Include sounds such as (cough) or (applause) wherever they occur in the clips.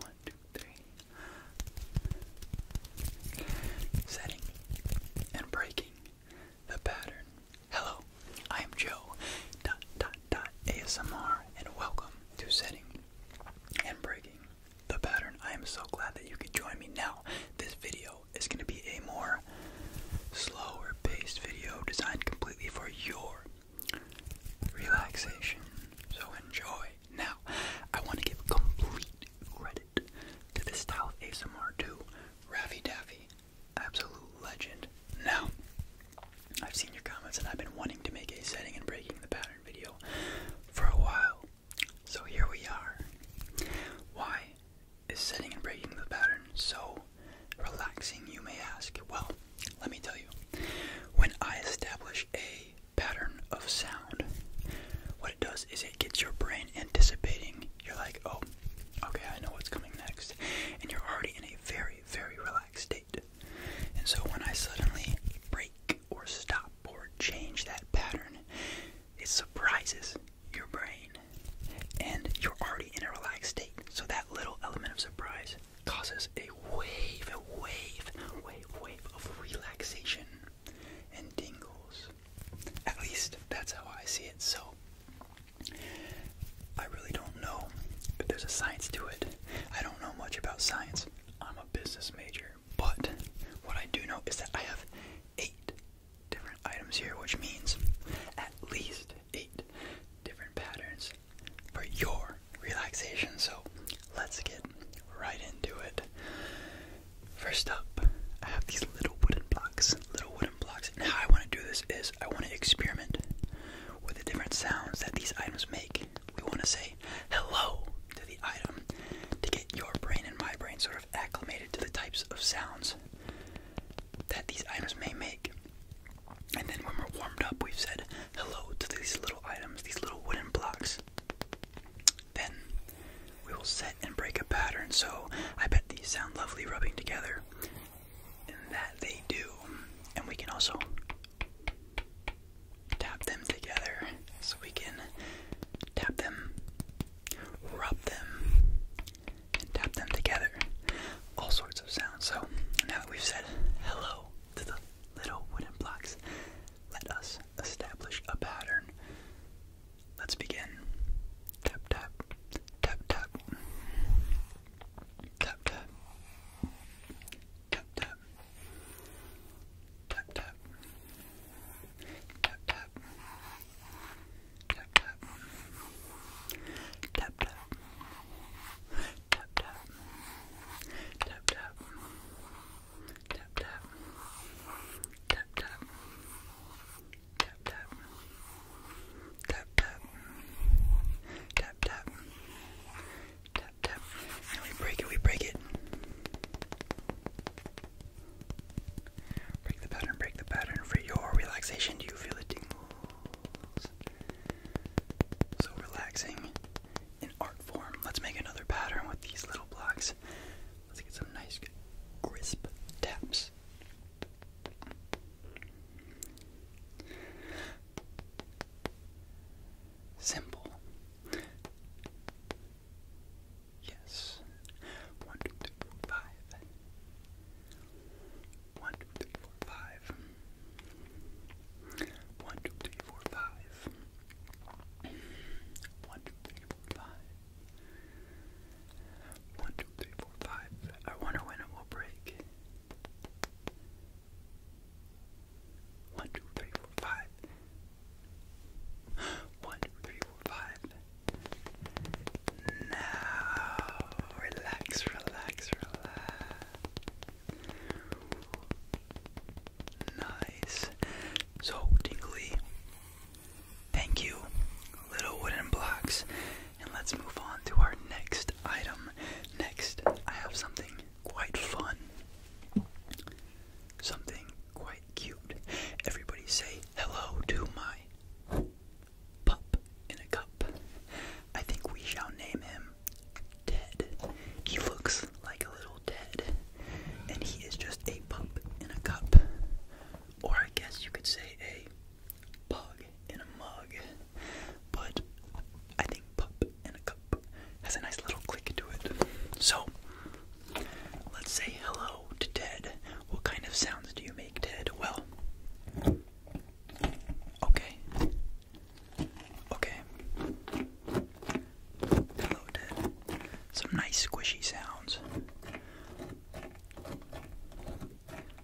One, two, three. Setting and breaking the pattern. Hello, I am Joe. Dot dot dot ASMR and welcome to setting and breaking the pattern. I am so glad that you could join me now. This video is going to be a more slower paced video designed completely for your relaxation. So enjoy. Now, I want to give complete credit to the style of ASMR 2 Raffy Daffy, absolute legend. Now, I've seen your comments and I've been wanting to make a setting and breaking the pattern video for a while. So here we are. Why is setting and breaking the pattern so relaxing, you may ask? Well, let me tell you. When I establish a pattern of sound, what it does is it gets your brain anticipating. You're like, oh, okay, I know what's coming next. And you're already in a very, very relaxed state. And so when I suddenly break or stop or change that pattern, it surprises your brain. And you're already in a relaxed state. So that little element of surprise causes a wave, a wave, wave, wave of relaxation and tingles. At least that's how I see it. So I really don't know if there's a science to it. I don't know much about science. I'm a business major, but what I do know is that I have eight different items here, which means at least eight different patterns for your relaxation. So let's get right into it. First up, I have these little wooden blocks. Little wooden blocks. And how I want to do this is I want to experiment with the different sounds that these items make. We want to say hello to the item to get your brain and my brain sort of acclimated to the types of sounds that these items may make. And then when we're warmed up, we've said hello to these little items, these little wooden blocks. Then we will set and break a pattern. So I bet these sound lovely rubbing together. And that they do. And we can also tap them together. So we can tap them, rub them, and tap them together all sorts of sounds. So now that we've said hello to the little wooden blocks, let us establish a pattern. Let's begin. Tap tap, tap tap, tap tap, tap tap, tap tap, tap tap, tap tap, tap tap, tap tap, Tap tap. Tap tap. Tap tap. Tap tap. Tap tap. Tap tap. Tap tap. Tap tap. And we break it, we break it. Break the pattern, break the pattern for your relaxation. Do you feel it tingle? so relaxing in art form. Let's make another pattern with these little blocks. Let's get some nice crisp taps. Simple. Yes. One, two, three, four, five. One, two, three, four, five. One, two, three, four, five. One, two, three, four, five. One, two, three, four, five. I wonder when it will break. One, two, three, four, five. One, two, three, four, five. No relax, relax, relax. Nice. So, Tingly, thank you, little wooden blocks. And let's move on to our next item. Next, I have something quite fun. Something quite cute. Everybody say hello to my pup in a cup. I think we shall name him Ted. He looks like a little Ted, and he is just a pup in a cup. Or I guess you could say a pug in a mug. But I think pup in a cup has a nice little click to it. So, let's say hello to Ted. What kind of sounds do you make, Ted? Well, Okay. Okay. Hello, Ted. Some nice squishy sounds.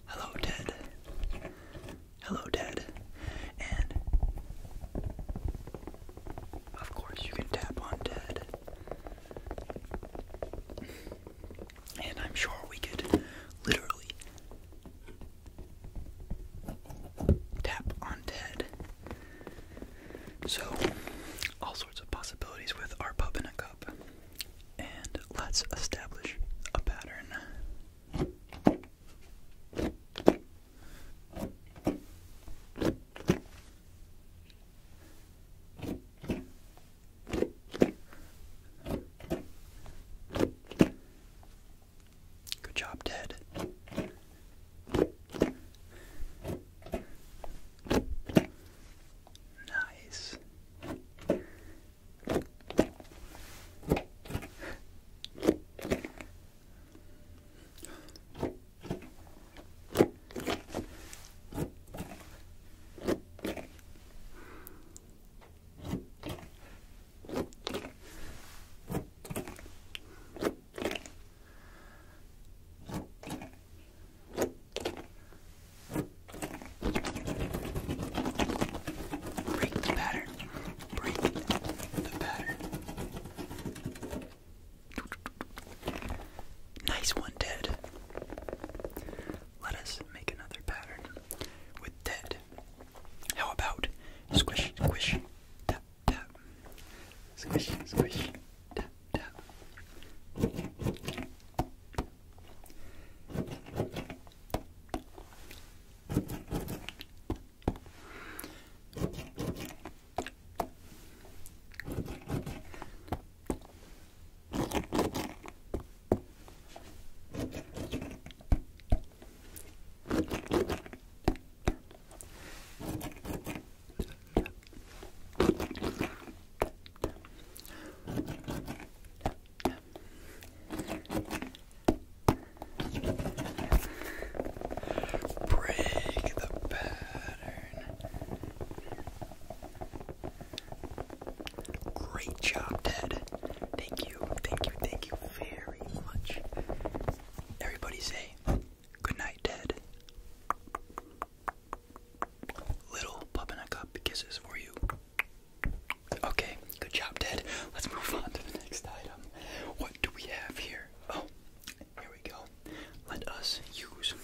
Hello, Ted. Hello, Ted. And of course, you can tap on Ted. And I'm sure we could literally tap on Ted. So, all sorts of possibilities with our pub in a cup. And let's establish a pattern. Good job, Ted. Nice. Break the pattern. Break the pattern. Nice one, Ted. Let us make another pattern with Ted. How about squish, squish, tap, tap. Squish, squish, tap, tap. Squish, Break the pattern. Great job, Ted. Thank you, thank you, thank you very much. Everybody say good night, Ted. Little pup a cup kisses for you. Okay, good job, Ted. Let's move on to the next item. What do we have here? Oh, here we go. Let us use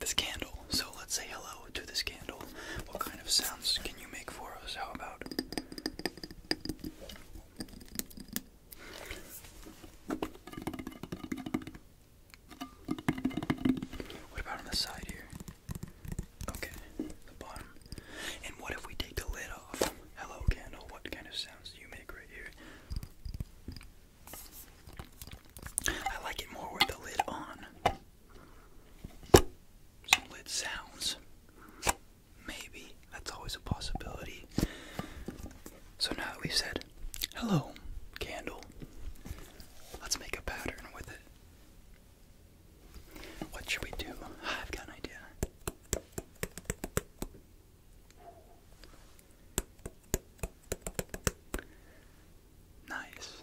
this candle. So let's say hello to this candle. What kind of sounds can you make for us? How about? What about on the side here? Okay, the bottom. And what if we take the lid off? Hello, candle. What kind of sounds do you make right here? I like it more with the lid on some lid sounds. Maybe. That's always a possibility. So now that we've said, hello, candle, let's make a pattern with it. What should we do? I've got an idea. Nice.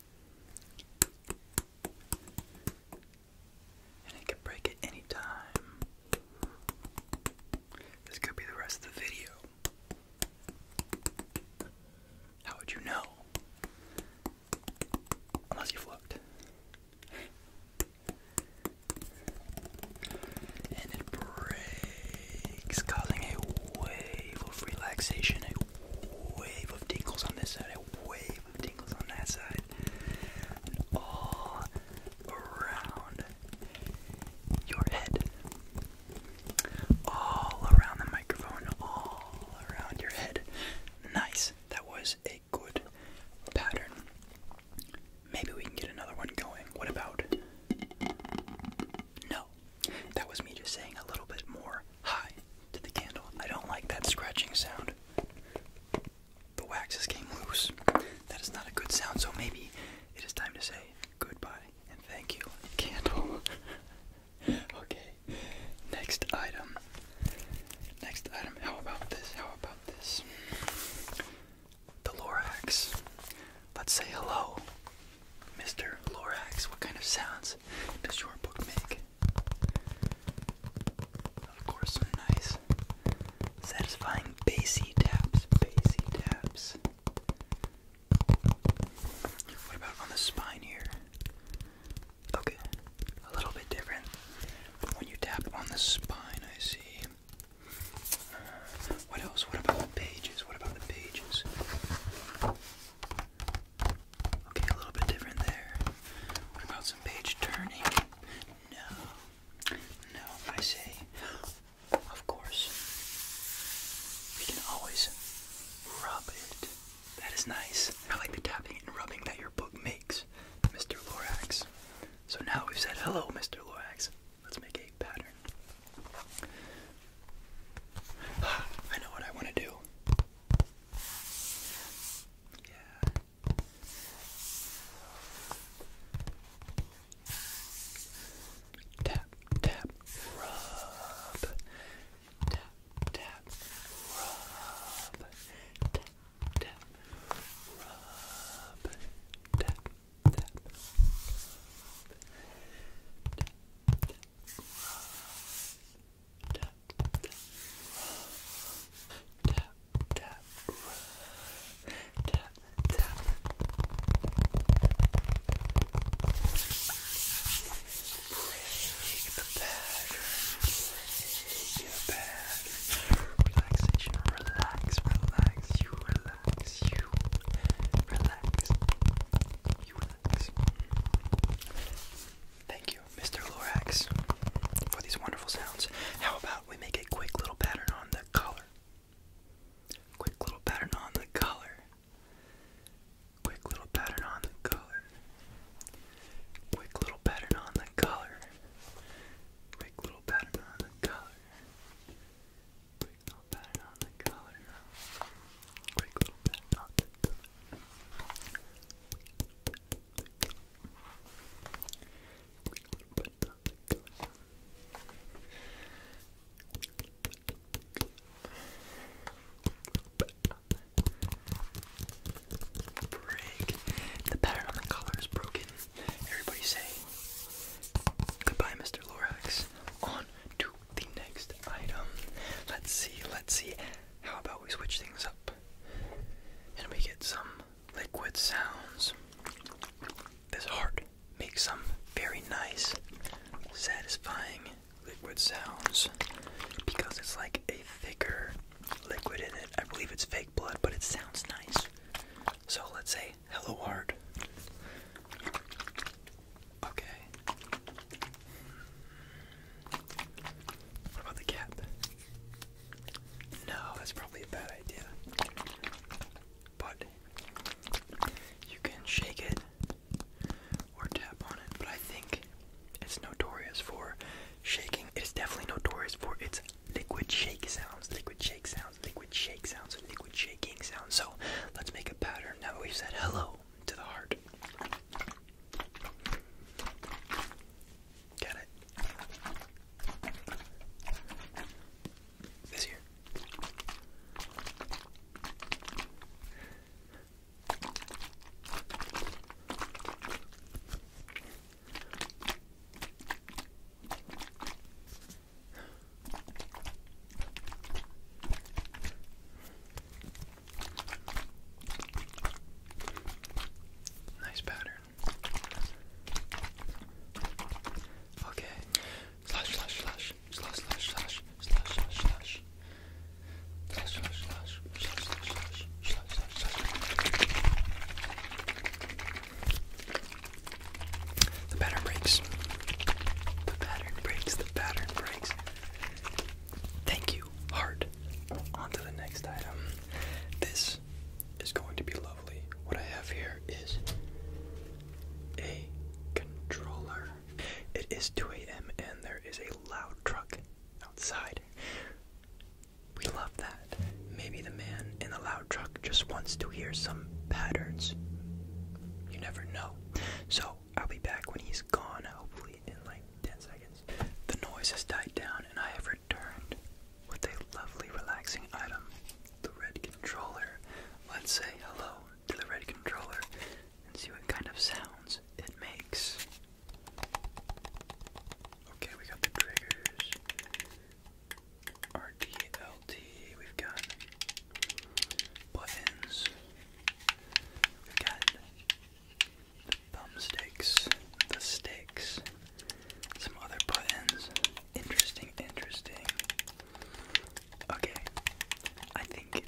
And it can break at any time. This could be the rest of the video. How would you know? Unless you've And it breaks, causing a wave of relaxation, wave of tingles on this side, wave of tingles on that side, all around your head, all around the microphone, all around your head. Nice, that was a good pattern. Maybe we can get another one going. What about? No, that was me just saying a little bit more hi to the candle. I don't like that scratching sound. The wax waxes came loose. That is not a good sound, so maybe it is time to say goodbye and thank you, candle. (laughs) okay, next item. Next item, how about this? How about this? The Lorax. Let's say hello Mr. Lorax, what kind of sounds does your book make? Of course, nice, satisfying bassy taps, bassy taps. What about on the spine here? Okay, a little bit different. when you tap on the spine, I see. what else? What about the pages? What about the pages? Okay, a little bit different there. about some page turning? No. No, I say, of course. We can always rub it. That is nice. I like the tapping and rubbing that your book makes, Mr. Lorax. So now we've said hello, Mr. Lorax. Let's make a pattern. (sighs) I know what I want to do. Tap, tap, rub. Tap, tap, rub. Tap, tap, rub. Tap, tap, rub, tap, tap, rub, tap, tap, tap, tap. Relaxation, relax, relax, you relax, you relax. You Thank you, Mr. Lorax, for these wonderful sounds. How about we make a quick little pattern on the color? Quick little pattern on the color. Quick little pattern on the color. Quick little pattern on the color. Quick little pattern on the color quick little on the collar. Quick little pat Quick little pat Break. The pattern on the collar is broken. Everybody say goodbye, Mr. Lorax. On to the next item. Let's see, let's see. How about we switch things up and we get some liquid sounds? This heart makes some very nice, satisfying liquid sounds because it's like a thicker liquid in it. I believe it's fake blood, but it sounds nice. So let's say, hello, heart. Okay. What about the cap? No, that's probably a bad idea. But you can shake it or tap on it, but I think it's notorious for shaking. It's definitely notorious for its liquid shake sounds, liquid shake sounds, liquid shake sounds, liquid shaking sound. So let's make a pattern now we've said hello to the heart. Get it? This here. Nice pattern. Okay. Slash, slash, slash, slash, slash, slash, slash, slash, slash. Slash, slash, slash, slash, slash, slash, slash, slash, slash. The pattern breaks. The pattern breaks. The pattern breaks. Thank you, heart. On to the next item. This is going to be lovely. What I have here is a controller. It is 2 a.m. and there is a loud truck outside. We love that. Maybe the man in the loud truck just wants to hear some patterns. You never know. So I'll be back when he's gone, hopefully in like 10 seconds. The noise has died down and I have returned with a lovely relaxing item, the red controller. Let's say hello to the red controller and see what kind of sounds it makes. Okay, we got the triggers. RTL We've got buttons. We've got thumbsticks, the sticks, some other buttons. Interesting, interesting. Okay, I think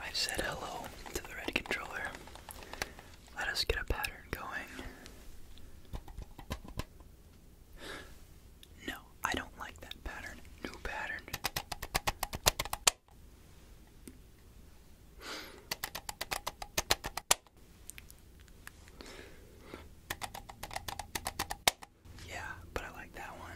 i said hello to the red controller. Let us get a pattern going. No, I don't like that pattern. New pattern. Yeah, but I like that one.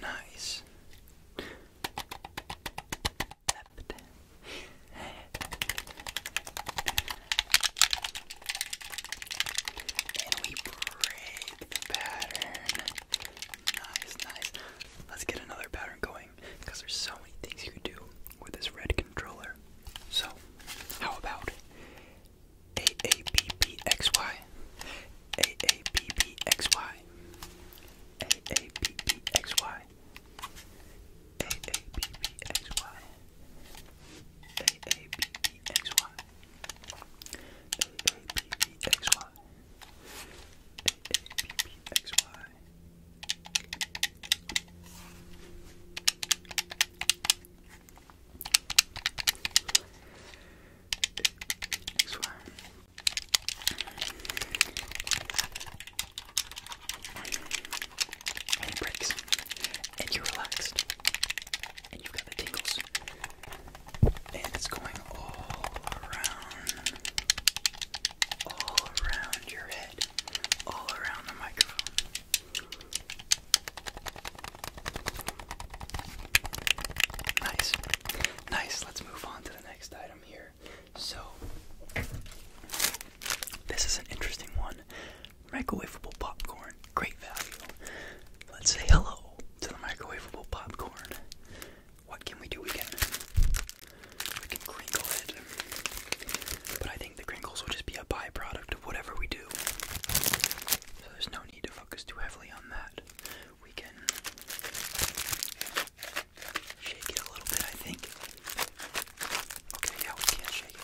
Nice. Left. and we break pattern. Nice, nice. Let's get another pattern going because there's so many things you could do with this red controller. So, how about A A B B X Y? A A B B X Y. A A B B X Y. A A B B X Y. A A B B X Y. A A B B X Y. A A B B X Y. And it breaks. And you're relaxed. And you've got the tingles. And it's going all around all around your head, all around the microphone. Nice. Nice. Let's move on to the next item here. So, this is an interesting one. Microwavable popcorn. Great value. Let's say hello to the microwaveable popcorn. What can we do? again? We can crinkle it. But I think the crinkles will just be a byproduct of whatever we do. So there's no need to focus too heavily on that. We can shake it a little bit, I think. Okay, yeah, we can shake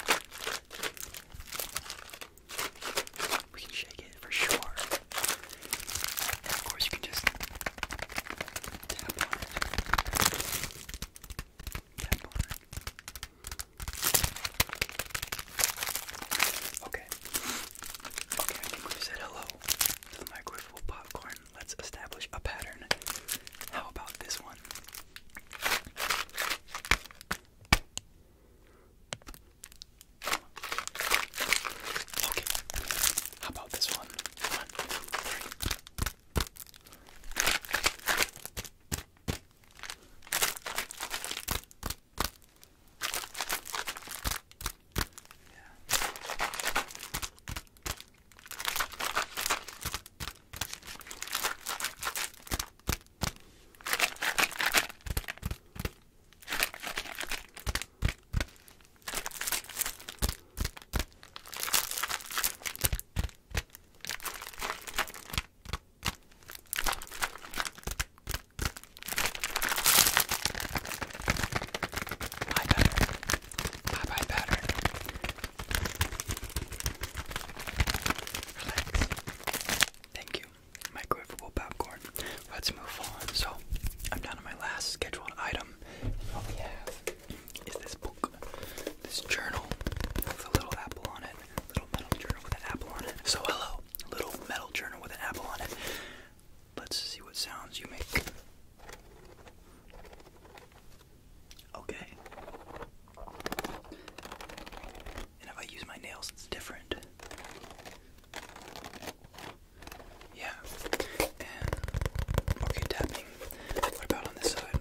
it. We can shake it for sure. And of course, you can just Okay. Okay, I think we said hello to the microwavable popcorn. Let's establish a pattern. How about this one? Okay. How about this one? One, three. Yeah pattern. Bye bye pattern. Relax. Thank you. Microwavable popcorn. Let's move on. So, I'm down to my last scheduled item um, what we this book, this journal with a little apple on it, little metal journal with an apple on it. So hello, little metal journal with an apple on it. Let's see what sounds you make. Okay. And if I use my nails, it's different. Yeah. okay, tapping. What about on this side?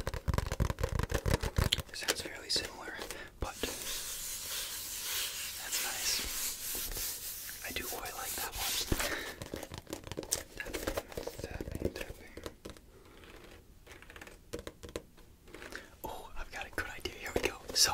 sounds fairly similar, but that's nice. I do quite oh, like that one. Oh, I've got a good idea. Here we go. So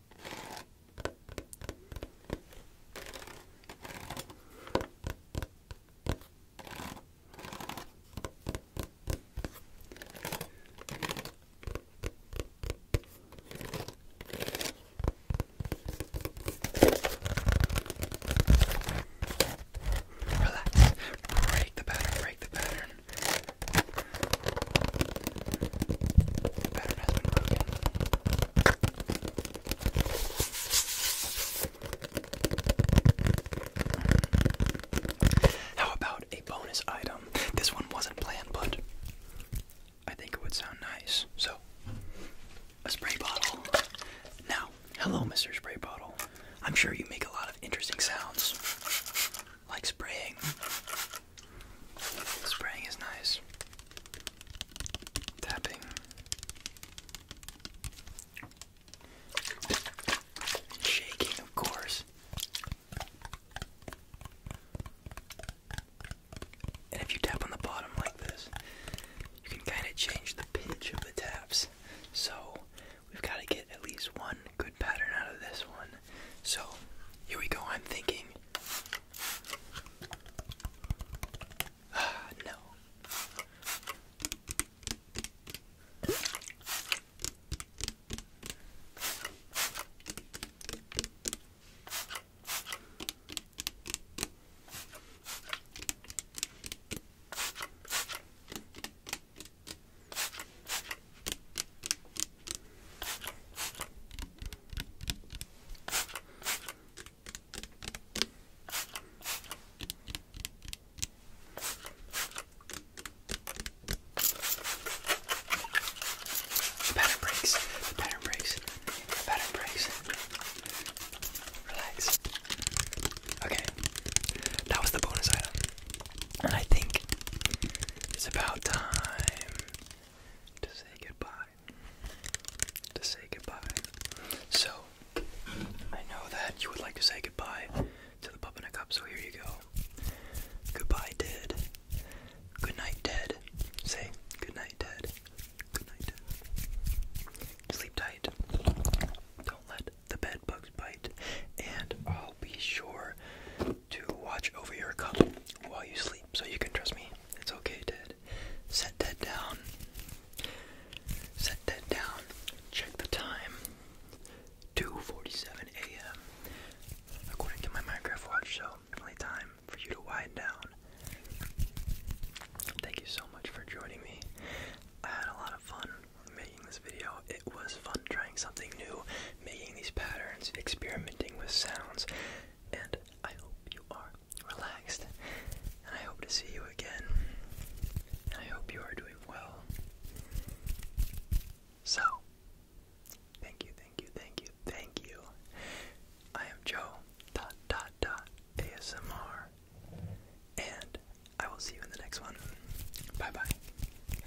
Relax. Break the pattern, break the pattern. How about a bonus item? This one wasn't planned, but I think it would sound nice. So, a spray bottle. Now, hello, Mr. Spray Bottle. I'm sure you make a lot of interesting sounds, like spraying Spraying is nice. Tapping. Shaking, of course. And if you tap on the bottom like this, you can kind of change the pitch of the taps. So we've got to get at least one good pattern out of this one so here we go. I'm thinking. Ah, no. The pattern breaks. The pattern breaks. pattern breaks. Relax. Okay. That was the bonus item. And I think it's about time to say goodbye. To say goodbye. So, I know that you would like to say goodbye to the pup in a cup, so here you go. Goodbye, Ted. Good night, Ted. Say good night, Ted. Good night, Sleep tight. Don't let the bed bugs bite. And I'll be sure to watch over your cup while you sleep. So you can trust me. It's okay, Ted. Set that down. Set that down. Check the time. 2:47 a.m. According to my Minecraft watch, so definitely time for you to wind down. Thank you so much for joining me. I had a lot of fun making this video. It was fun trying something new, making these patterns, experimenting with sounds, and I hope you are relaxed. And I hope to see you again. And I hope you are doing well. So, thank you, thank you, thank you, thank you. I am Joe dot dot dot ASMR, and I will see you in the next one. Bye bye.